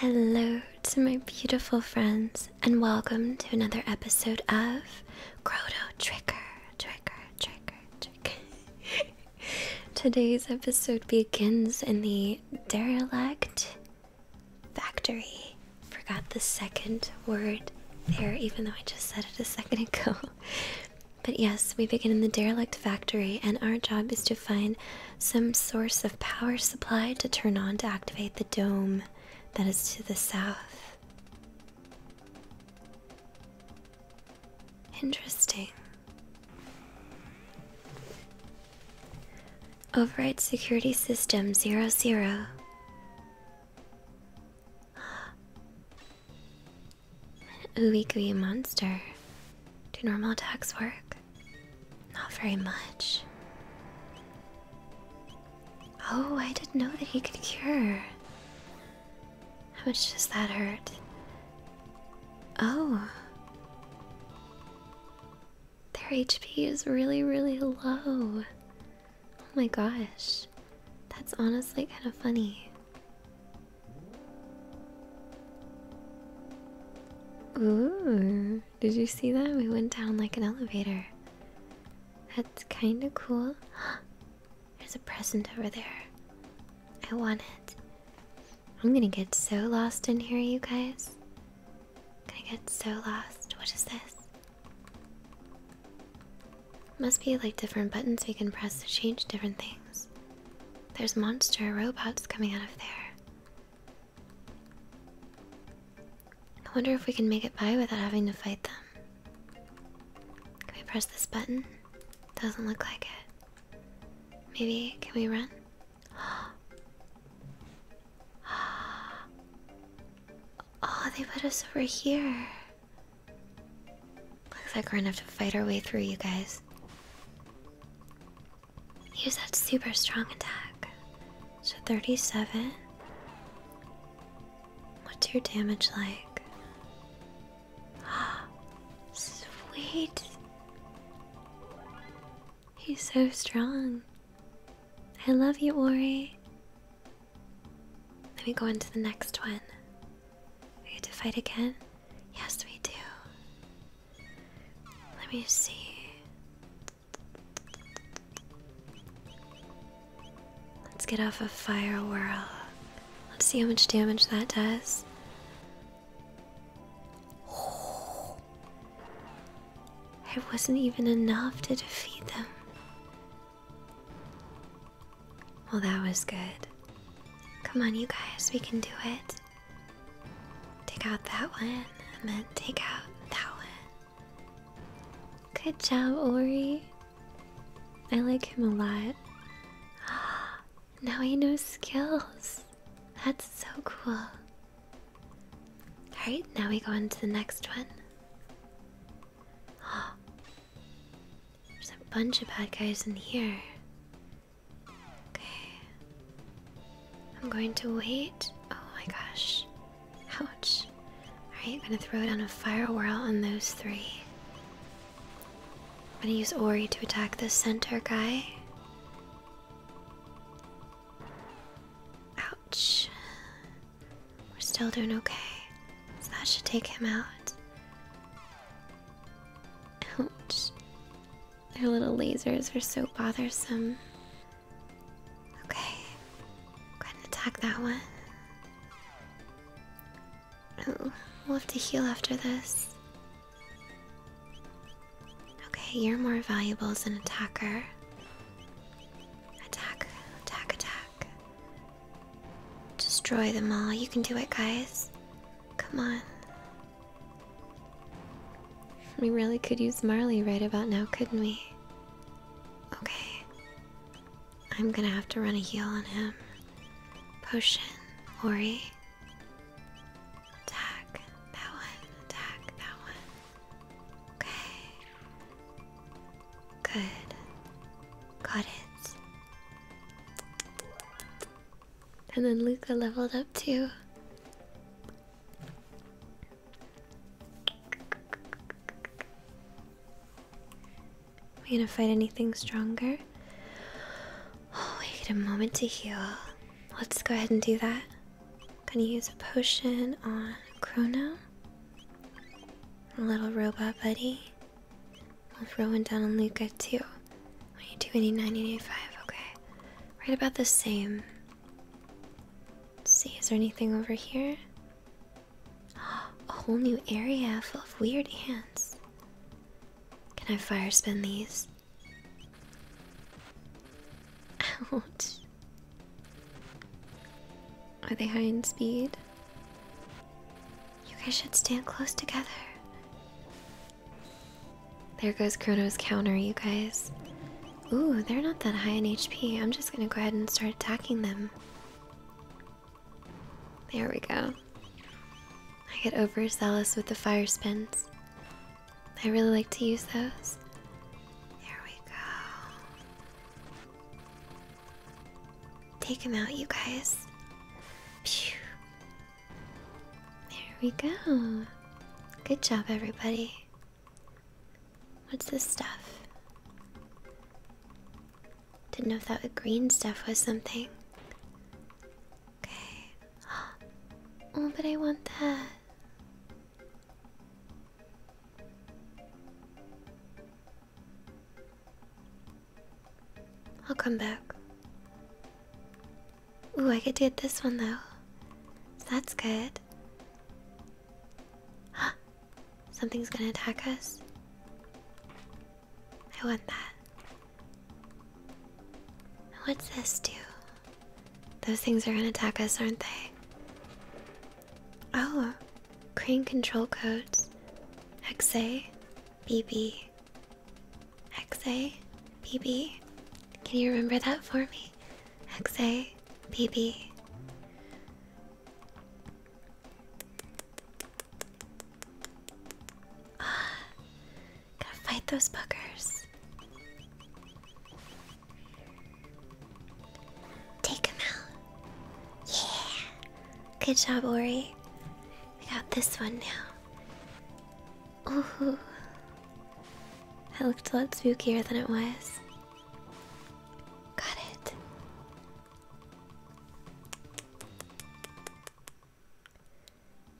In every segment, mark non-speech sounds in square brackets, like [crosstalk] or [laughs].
Hello to my beautiful friends, and welcome to another episode of Croto Tricker Trigger, Trigger, [laughs] Today's episode begins in the derelict factory. Forgot the second word there, even though I just said it a second [laughs] ago. But yes, we begin in the derelict factory, and our job is to find some source of power supply to turn on to activate the dome that is to the south. Interesting. Override security system 00. An [gasps] ooey monster. Do normal attacks work? Not very much. Oh, I didn't know that he could cure. How much does that hurt? Oh. Their HP is really, really low. Oh my gosh. That's honestly kind of funny. Ooh, did you see that? We went down like an elevator. That's kind of cool. [gasps] There's a present over there. I want it. I'm gonna get so lost in here, you guys. I get so lost. What is this? Must be like different buttons we can press to change different things. There's monster robots coming out of there. I wonder if we can make it by without having to fight them. Can we press this button? Doesn't look like it. Maybe, can we run? [gasps] [gasps] Oh, they put us over here. Looks like we're gonna have to fight our way through, you guys. Use that super strong attack. So 37. What's your damage like? [gasps] Sweet. He's so strong. I love you, Ori. Let me go into the next one. We get to fight again? Yes, we do. Let me see. Let's get off a Fire Whirl. Let's see how much damage that does. It wasn't even enough to defeat them. Well, that was good. Come on, you guys, we can do it. Take out that one, and then take out that one. Good job, Ori. I like him a lot. [gasps] now he knows skills. That's so cool. Alright, now we go on to the next one. [gasps] there's a bunch of bad guys in here. Okay. I'm going to wait. Oh my gosh. Ouch. Alright, I'm gonna throw down a fire whirl on those three. I'm gonna use Ori to attack the center guy. Ouch. We're still doing okay. So that should take him out. Ouch. Their little lasers are so bothersome. Okay. Go ahead and attack that one. Oh, we'll have to heal after this. Okay, you're more valuable as an attacker. Attack, attack, attack. Destroy them all. You can do it, guys. Come on. We really could use Marley right about now, couldn't we? Okay. I'm gonna have to run a heal on him. Potion, Ori. Attack that one, attack that one. Okay. Good. Got it. And then Luca leveled up too. we gonna fight anything stronger? Oh, we need a moment to heal. Let's go ahead and do that. Gonna use a potion on Chrono. A little robot buddy. I'll throw one down on Luca too. 22, 89, 85. Okay. Right about the same. see, is there anything over here? [gasps] A whole new area full of weird ants. Can I fire spin these? this. Ouch. Are they high in speed? You guys should stand close together. There goes Chrono's counter, you guys. Ooh, they're not that high in HP. I'm just gonna go ahead and start attacking them. There we go. I get overzealous with the fire spins. I really like to use those. There we go. Take him out, you guys. Pew. There we go. Good job, everybody. What's this stuff? Didn't know if that green stuff was something. Okay. [gasps] Oh, but I want that. I'll come back. Ooh, I get to it this one though. That's good. Huh. Something's gonna attack us. I want that. What's this do? Those things are gonna attack us, aren't they? Oh, crane control codes. XA, BB. XA, BB. Can you remember that for me? XA, BB. Gotta fight those buggers. Take him out. Yeah. Good job, Ori. We got this one now. Ooh. That looked a lot spookier than it was. Got it.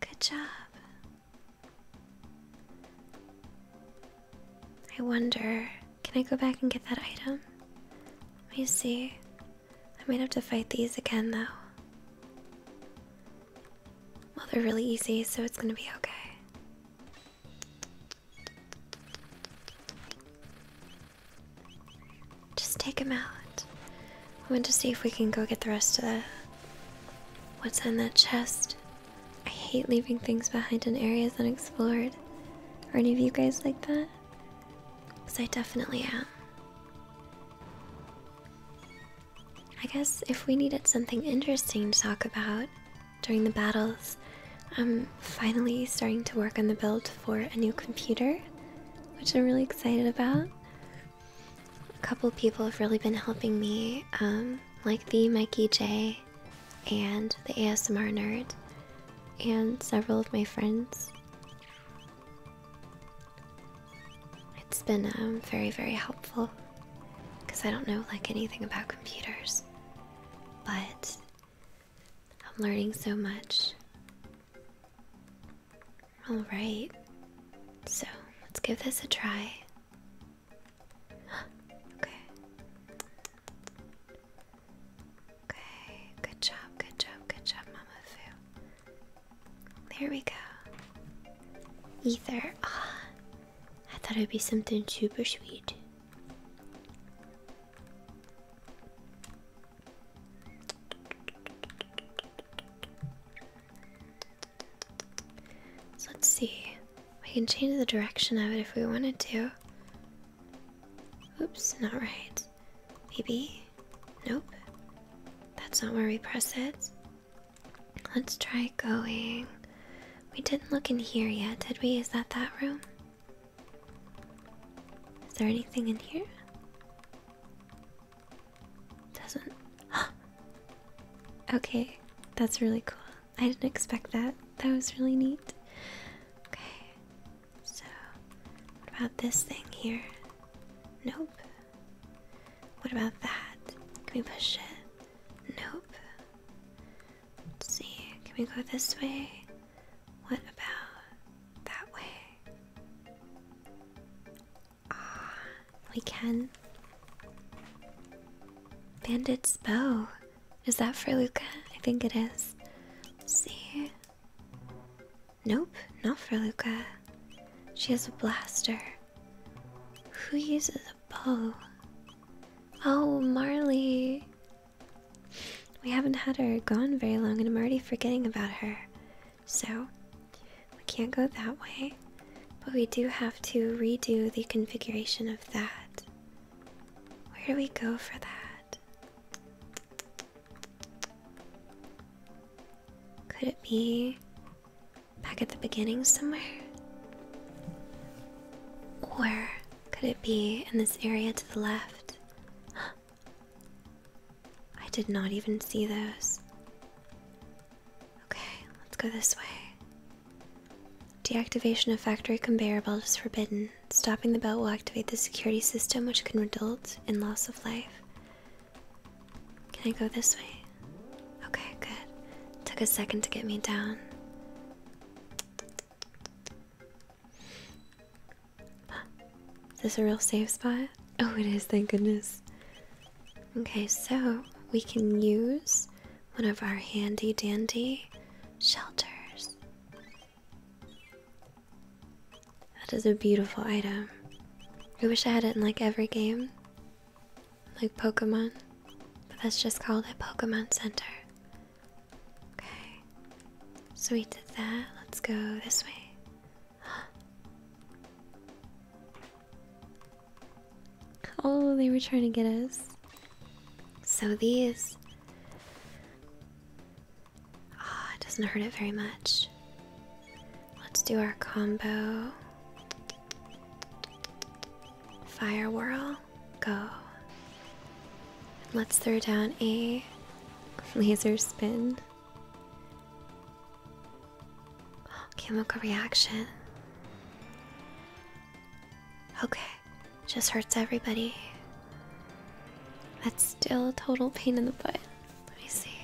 Good job. I wonder, can I go back and get that item? Let me see. I might have to fight these again though. Well, they're really easy, so it's gonna be okay. Just take him out. I want to see if we can go get the rest of the What's in that chest? I hate leaving things behind in areas unexplored. Are any of you guys like that? Because I definitely am. I guess if we needed something interesting to talk about during the battles, I'm finally starting to work on the build for a new computer, which I'm really excited about a couple people have really been helping me, um, like the Mikey J and the ASMR Nerd, and several of my friends. It's been um, very, very helpful because I don't know like anything about computers, but I'm learning so much. All right, so let's give this a try okay. Okay, good job, good job, good job, Mamafu. There we go. Ether. Ah, I thought it'd be something super sweet. So let's see. We can change the direction of it if we wanted to. Oops, not right. Maybe. Nope. That's not where we press it. Let's try going. We didn't look in here yet, did we? Is that that room? Is there anything in here? Doesn't. [gasps] okay, that's really cool. I didn't expect that. That was really neat. Okay, so what about this thing here? Nope. What about that? Can we push it? Nope. Let's see, can we go this way? What about that way? Ah, we can. Bandit's bow. Is that for Luca? I think it see. Nope, not for Luca. She has a blaster. Who uses a bow? Oh, Marley. We haven't had her gone very long and I'm already forgetting about her. So we can't go that way, but we do have to redo the configuration of that. Where do we go for that? Could it be back at the beginning somewhere? Or could it be in this area to the left? [gasps] I did not even see those. Okay, let's go this way. Deactivation of factory conveyor belt is forbidden. Stopping the belt will activate the security system, which can result in loss of life. Can I go this way? Okay, good. Took a second to get me down. [gasps] Is this a real safe spot? Oh, it is, thank goodness. Okay, so we can use one of our handy dandy shelters. That is a beautiful item. I wish I had it in like every game, like Pokemon, but that's just called a Pokemon Center. Okay, so we did that. Let's go this way. [gasps] Oh, they were trying to get us. So these. Ah, it doesn't hurt it very much. Let's do our combo. Fire whirl, go. Let's throw down a [laughs] laser spin chemical reaction. Okay, just hurts everybody. That's still a total pain in the butt. Let me see.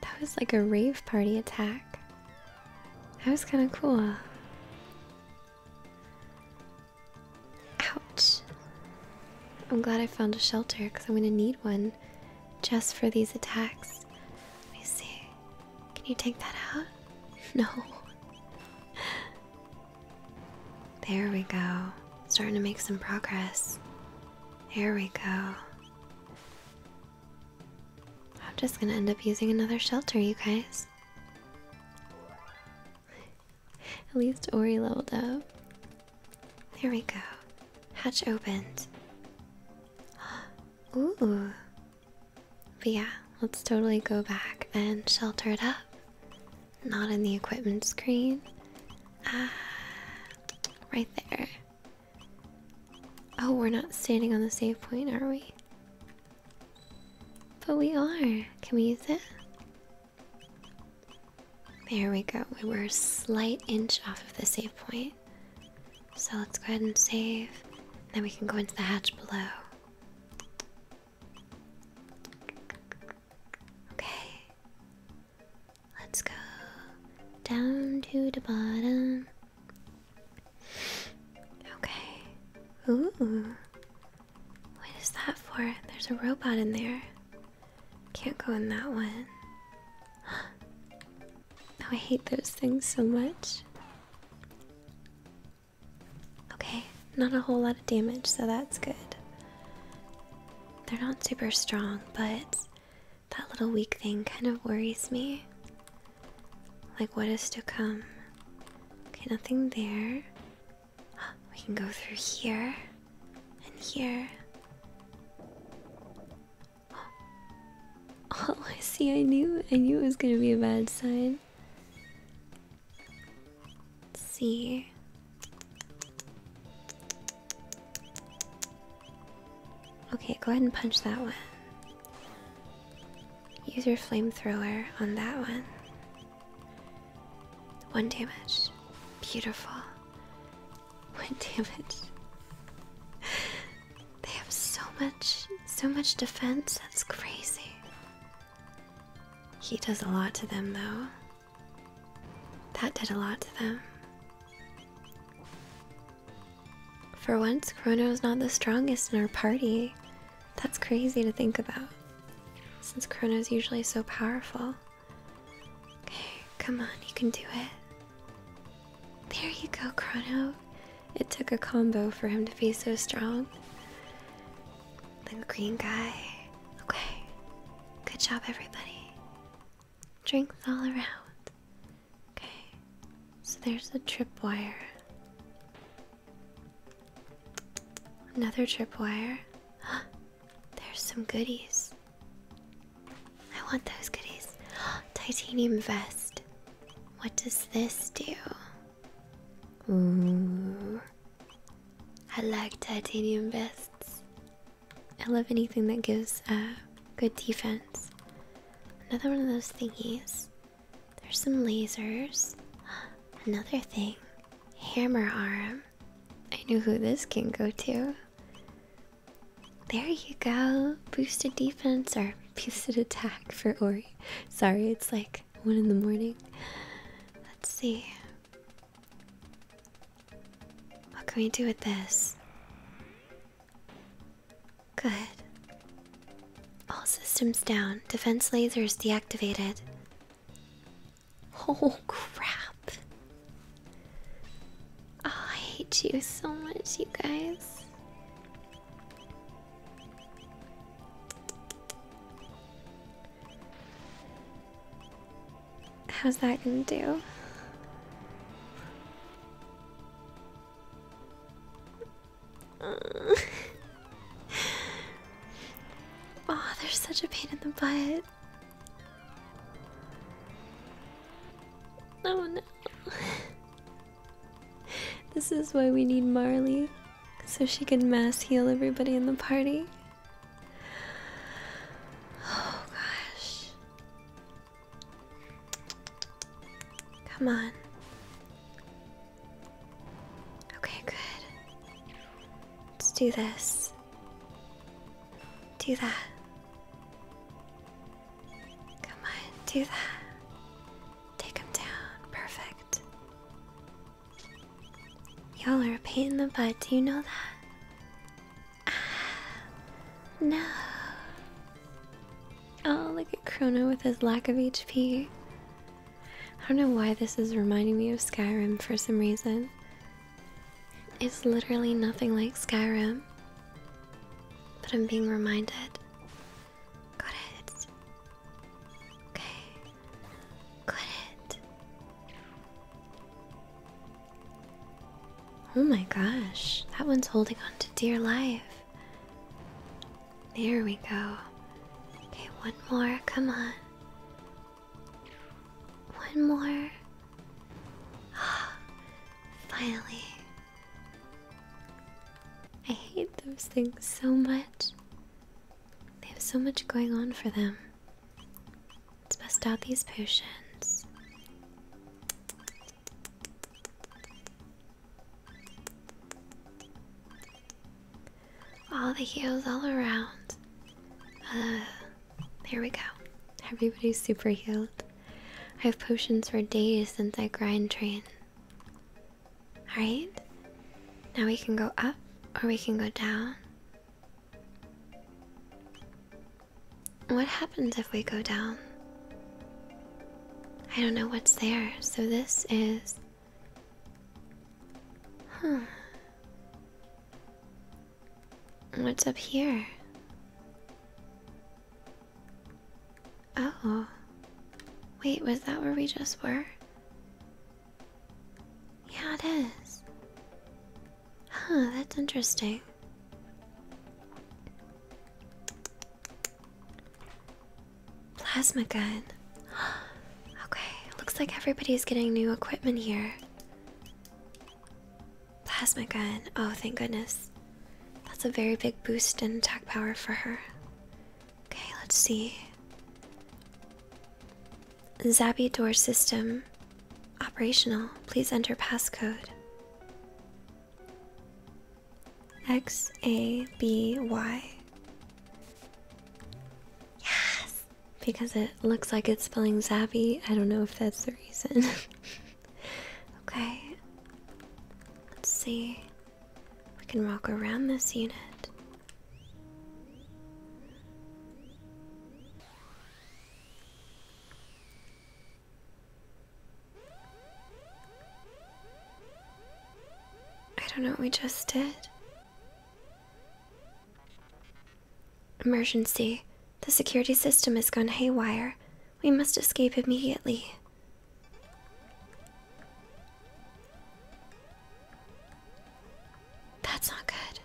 That was like a rave party attack. That was kind of cool. Ouch. I'm glad I found a shelter because I'm going to need one just for these attacks. Let me see. Can you take that out? [laughs] No. There we go. Starting to make some progress. There we go. I'm just gonna end up using another shelter, you guys. At least Ori leveled up. There we go. Hatch opened. [gasps] Ooh. But yeah, let's totally go back and shelter it up. Not in the equipment screen. Ah, right there. Oh, we're not standing on the save point, are we? But we are. Can we use it? There we go. We were a slight inch off of the save point. So let's go ahead and save. Then we can go into the hatch below. Okay. Let's go down to the bottom. Okay. Ooh. What is that for? There's a robot in there. Can't go in that one. [gasps] Oh, I hate those things so much. Okay, not a whole lot of damage, so that's good. They're not super strong, but that little weak thing kind of worries me. Like, what is to come? Okay, nothing there. We can go through here and here. [gasps] Oh, I see. I knew. I knew it was gonna be a bad sign. see. Okay, go ahead and punch that one. Use your flamethrower on that one. One damage. Beautiful. One damage. They have so much, so much defense. That's crazy. He does a lot to them, though. That did a lot to them. For once, is not the strongest in our party. That's crazy to think about, since Chrono's usually so powerful. Okay, come on, you can do it. There you go, Chrono. It took a combo for him to be so strong. The green guy. Okay, good job, everybody. Drinks all around. Okay, so there's the tripwire. Another tripwire. There's some goodies. I want those goodies. [gasps] Titanium vest. What does this do? Ooh. I like titanium vests. I love anything that gives a uh, good defense. Another one of those thingies. There's some lasers. Another thing. Hammer arm. I know who this can go to. There you go. Boosted defense or boosted attack for Ori. Sorry, it's like 1 in the morning. Let's see. What can we do with this? Good. All systems down. Defense lasers deactivated. Oh crap. Oh, I hate you so much, you guys. How's that gonna do? Uh. [laughs] oh, they're such a pain in the butt. Oh no. [laughs] this is why we need Marley, so she can mass heal everybody in the party. Oh gosh. Come on. Okay, good. Let's do this. Do that. Come on, do that. Take him down. Perfect. Y'all are a pain in the butt, do you know that? Ah, no. Oh, look at Krona with his lack of HP. I don't know why this is reminding me of Skyrim for some reason. It's literally nothing like Skyrim. But I'm being reminded. Got it. Okay. Got it. Oh my gosh, that one's holding on to dear life. There we go. Okay, one more. Come on. One more. [gasps] Finally. I hate those things so much. They have so much going on for them. Let's bust out these potions. All the heels all around. Uh, there we go. Everybody's super healed. I have potions for days since I grind train. Alright. Now we can go up or we can go down. What happens if we go down? I don't know what's there, so this is Huh. What's up here? Oh. Wait, was that where we just were? Yeah, it is. Huh, that's interesting. Plasma gun. [gasps] okay, looks like everybody's getting new equipment here. Plasma gun. Oh, thank goodness. That's a very big boost in attack power for her. Okay, let's see. Zabi door system operational. Please enter passcode. X A B Y. Yes! Because it looks like it's spelling Zappy. I don't know if that's the reason. [laughs] okay. Let's see. We can walk around this unit. I don't know what we just did. Emergency. The security system has gone haywire. We must escape immediately. That's not good.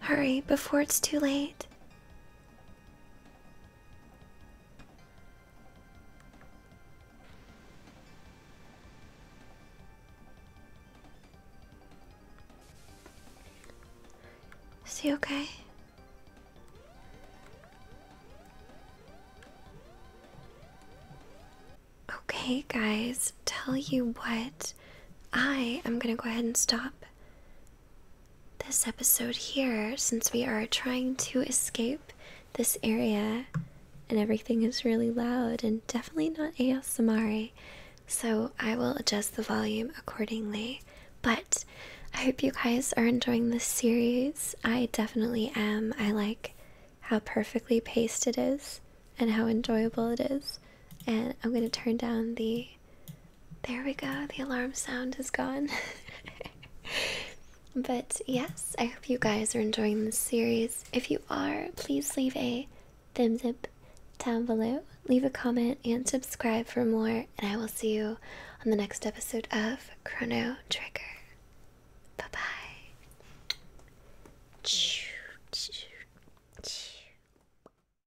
Hurry before it's too late. See you, okay? Okay, guys, tell you what, I am gonna go ahead and stop this episode here since we are trying to escape this area and everything is really loud and definitely not ASMR. So I will adjust the volume accordingly. But I hope you guys are enjoying this series. I definitely am. I like how perfectly paced it is and how enjoyable it is. And I'm going to turn down the there we go, the alarm sound is gone. [laughs] but yes, I hope you guys are enjoying this series. If you are, please leave a thumbs up down below, leave a comment, and subscribe for more. And I will see you on the next episode of Chrono Trigger. Bye bye.